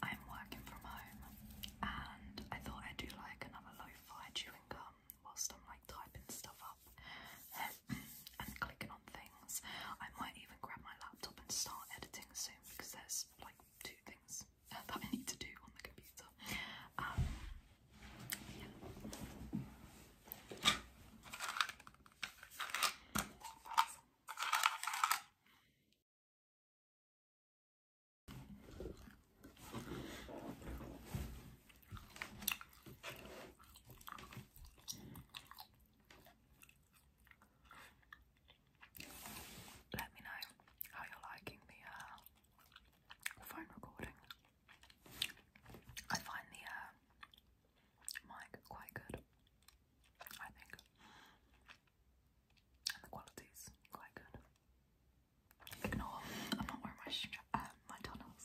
I'm working from home and I thought I'd do like another lo-fi chewing gum whilst I'm like typing stuff up and clicking on things. I might even grab my laptop and start editing soon because there's like two things that I need to do on the computer. Um, yeah. Let me know how you're liking the uh, phone recording. I find the uh, mic quite good, I think, and the quality's quite good. Ignore, I'm not wearing my uh, my tunnels.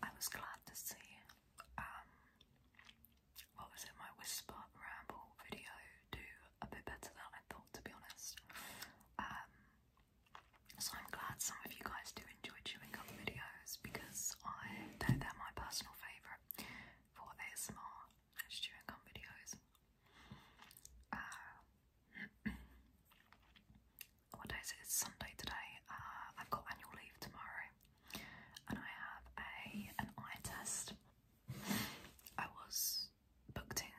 I was glad to see um, what was it, my whisper ramble video do a bit better than I thought, to be honest. Um, so I'm glad some of you guys do enjoy chewing up videos because I know are they're my personal favourite for ASMR and chewing gum videos. Uh, what day is it? It's Sunday today. Uh, I've got annual leave tomorrow, and I have a an eye test. I was booked in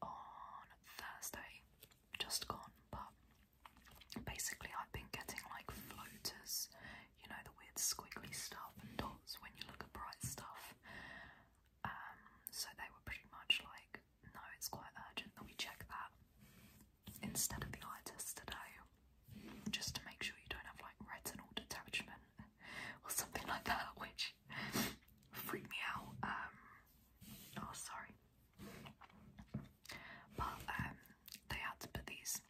on Thursday, just gone, but basically I've been getting like floaters, you know, the weird squiggly stuff and dots when you look at bright stuff. Um, so they were pretty much like, no, it's quite urgent Let me check that instead of the eye test today, just to make sure you don't have like retinal detachment or something like that, which freaked me out. Um, oh, sorry. But um, they had to put these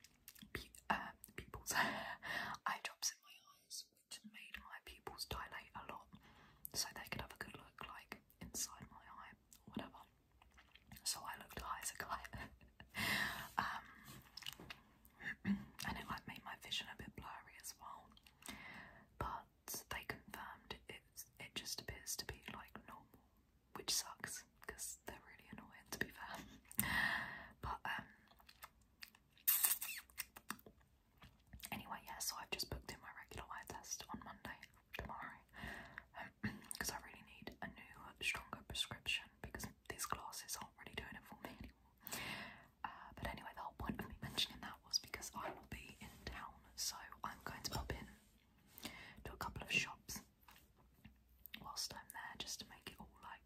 pe um, eye drops in my eyes, which made my pupils dilate a lot, so they could have a good look, like inside my eye, or whatever so I looked at as a kite. um, and it like made my vision a bit blurry as well. But they confirmed it. It just appears to be like normal, which sucks because they're really annoying to be fair. but um, anyway, yeah. So I've just booked in my regular eye test on Monday tomorrow because um, I really need a new, stronger prescription because these glasses aren't really doing it for me anymore. Uh, but anyway, the whole point of me mentioning that was because I will be in town, so I'm going to pop in to a couple of shops whilst I'm there just to make it all like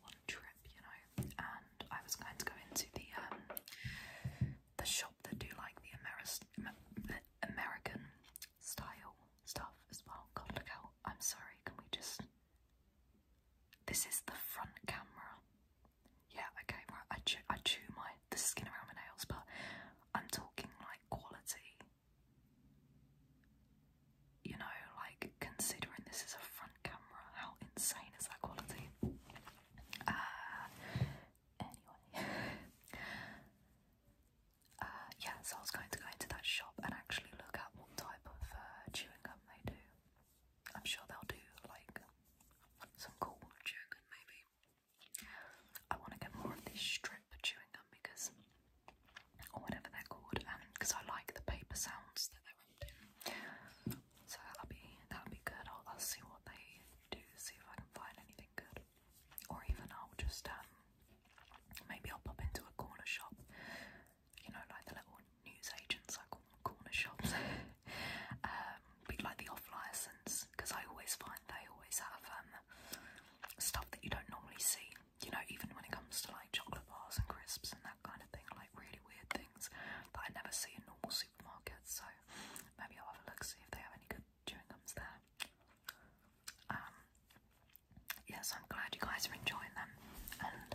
one trip, you know. And I was going to go into the um, the shop that do like the American style stuff as well. God, look out. I'm sorry, can we just. This is the front camera. Yeah, okay, right. I chew, I chew my the skin around my nails, but I'm talking like quality. You know, like considering this is a front camera, how insane is that quality? Uh, anyway, Uh, yeah, so I was going to go into that shop and actually look at what type of uh, chewing gum they do. I'm sure they'll do like some cool chewing gum, maybe. I want to get more of this strip chewing gum because, or whatever they're called, because um, I like the paper sounds that they're making. So that'll be that'll be good. I'll see what they do, see if I can find anything good or even I'll just um maybe I'll pop into a corner shop, you know, like the little newsagents I call them corner shops, um, but like the off license because I always find they always have um stuff that you don't normally see, you know, even when it comes to like chocolate bars and crisps and that kind of thing, like really weird things that I never see in normal supermarkets. So maybe I'll have a look see if they have any good chewing gums there. Um, yes, I'm glad you guys are enjoying them. And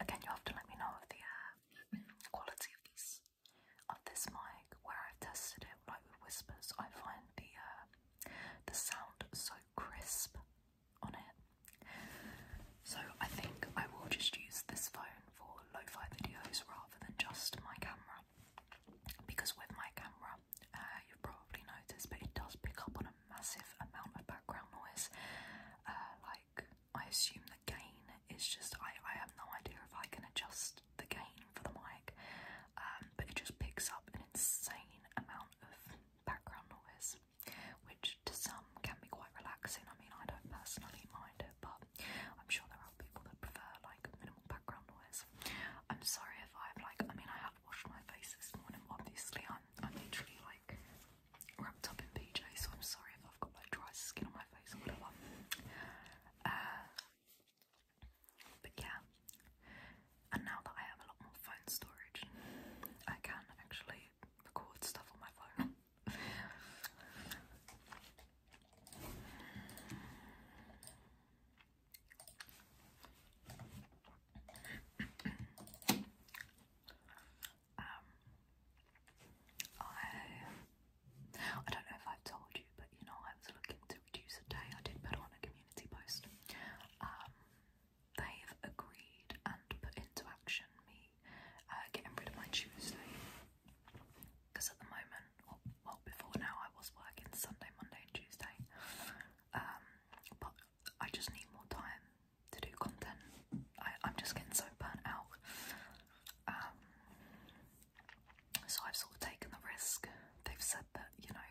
again, you have to let me know the uh, quality of this of this mic where I've tested it, like with whispers. I find the uh, the sound so crisp on it. So I think I will just use this phone for lo-fi videos rather than just my camera because with my camera, uh, you've probably noticed, but it does pick up on a massive amount of background noise. Uh, like, I assume the gain is just, I, I have no idea if I can adjust the gain for the mic, um, but it just picks up an insane amount of background noise, which to some can be quite relaxing. I mean, I don't personally mind it, but I'm sure there are people that prefer like minimal background noise. I'm sorry if I've like, I mean, I have washed my face this morning, obviously I'm, I'm literally like wrapped up in PJ, so I'm sorry if I've got like dry skin on my face or whatever. Uh, but yeah, and now that I have a lot more phone storage, I can actually record stuff on my phone um, I I don't know if I've told you, but you know I was looking to reduce a day. I did put on a community post. Um, they've agreed and put into action me uh, getting rid of my Tuesday because at the moment, well, before now, I was working Sunday, Monday, and Tuesday. Um, but I just need more time to do content. I, I'm just getting so burnt out. Um, so I've sort of taken the risk. They've said that, you know,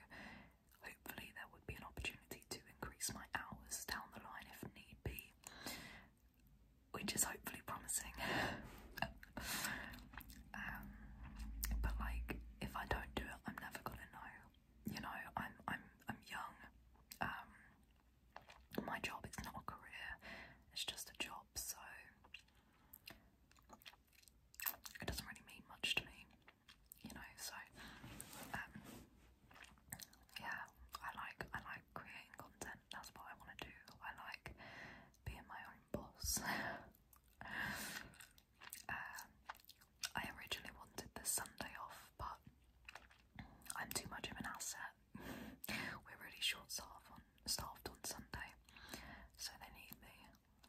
hopefully there would be an opportunity to increase my hours down the line if need be, which is hopefully promising. Um, but like if I don't do it, I'm never gonna know. You know, I'm I'm I'm young. Um, my job is not a career; it's just a job. So it doesn't really mean much to me. You know, so um, yeah, I like I like creating content. That's what I want to do. I like being my own boss. Um, I originally wanted the Sunday off, but I'm too much of an asset. We're really short staffed on, staffed on Sunday, so they need me.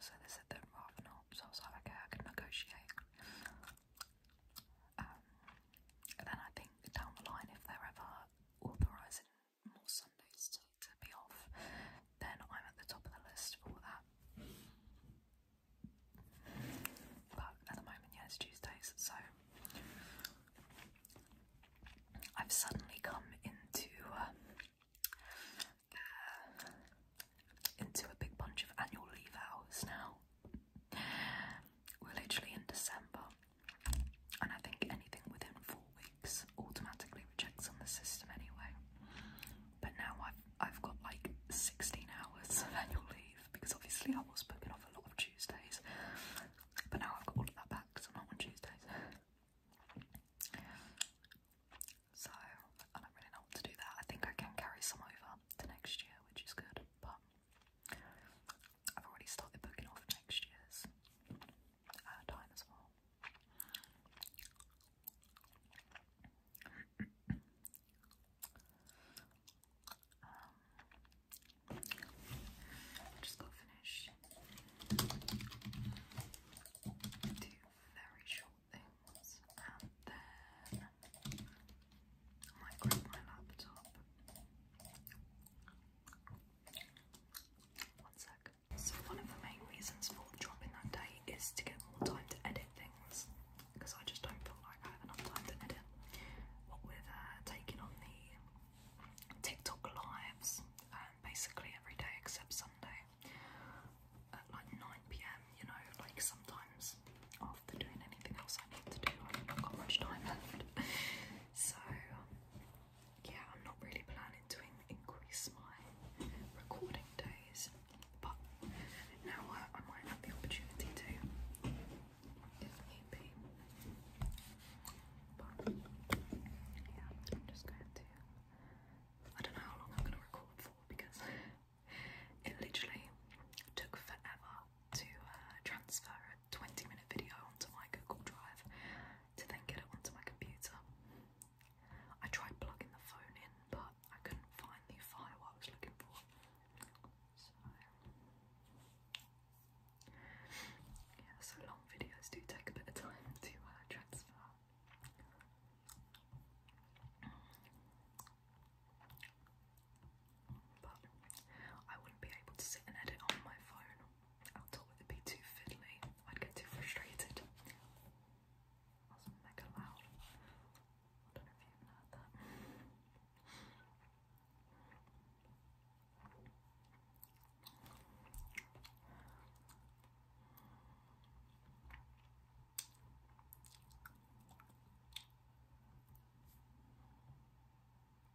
So they said they'd rather not. So I was like, okay, I can negotiate. and um, then I think down the line, if they're ever authorising more Sundays to, be off, then I'm at the top of the list for that. But at the moment, yeah, it's Tuesdays, so I've suddenly come into uh, into a big bunch of annual leave hours now. We're literally in December, and I think anything within four automatically rejects on the system anyway. But now I've I've got like 16 hours of annual leave because obviously I was booking off a lot of Tuesdays. But now I've got all of that back because I'm not on Tuesdays. So I don't really know what to do there. I think I can carry some over to next year, which is good, but I've already started booking off next year's uh, time as well. Um, just got finished two very short things, and then I grab my laptop. One so one of the main reasons for dropping that day is to get more time to edit things because I just don't feel like I have enough time to edit. What with uh, taking on the TikTok lives um, basically every day except Sunday at like 9pm, you know, like sometimes after doing anything else I need to do, i do not have got much time left. so yeah, I'm not really planning to increase my recording days, but now I, might have the opportunity to, if need But yeah, I'm just going to. I don't know how long I'm going to record for because it literally took forever to uh, transfer a 20 minute video onto my Google Drive to then get it onto my computer. I tried plugging the phone in, but I couldn't find the file I was looking for. So, yeah, so long videos do take a bit of time to uh, transfer. But I wouldn't be able to sit and edit on my phone outdoor would be too fiddly. I'd get too frustrated. That's mega loud. I don't know if you even that.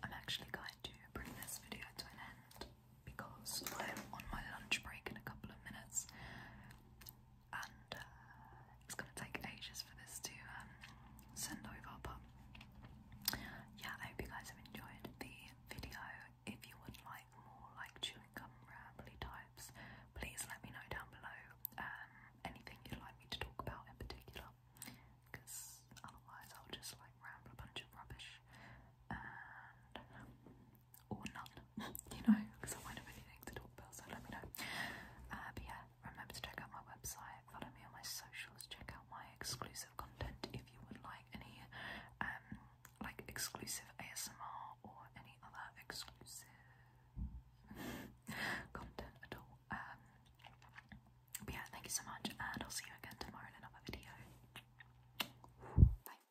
I'm actually going to bring this video to an end because I'm on my lunch break in a couple of minutes and uh, it's gonna take ages for this to um, send over, but yeah, I hope you guys have enjoyed the video. If you would like more like chewing gum rambly types, please let me know down below um, anything you'd like me to talk about in particular, because otherwise I'll just like ramble a bunch of rubbish or none, you know, because I won't have anything talk about, so let me know. Uh, but yeah, remember to check out my website, follow me on my socials, check out my exclusive content if you would like any um like exclusive ASMR or any other exclusive content at all. Um, but yeah, thank you so much, and I'll see you again tomorrow in another video. Bye.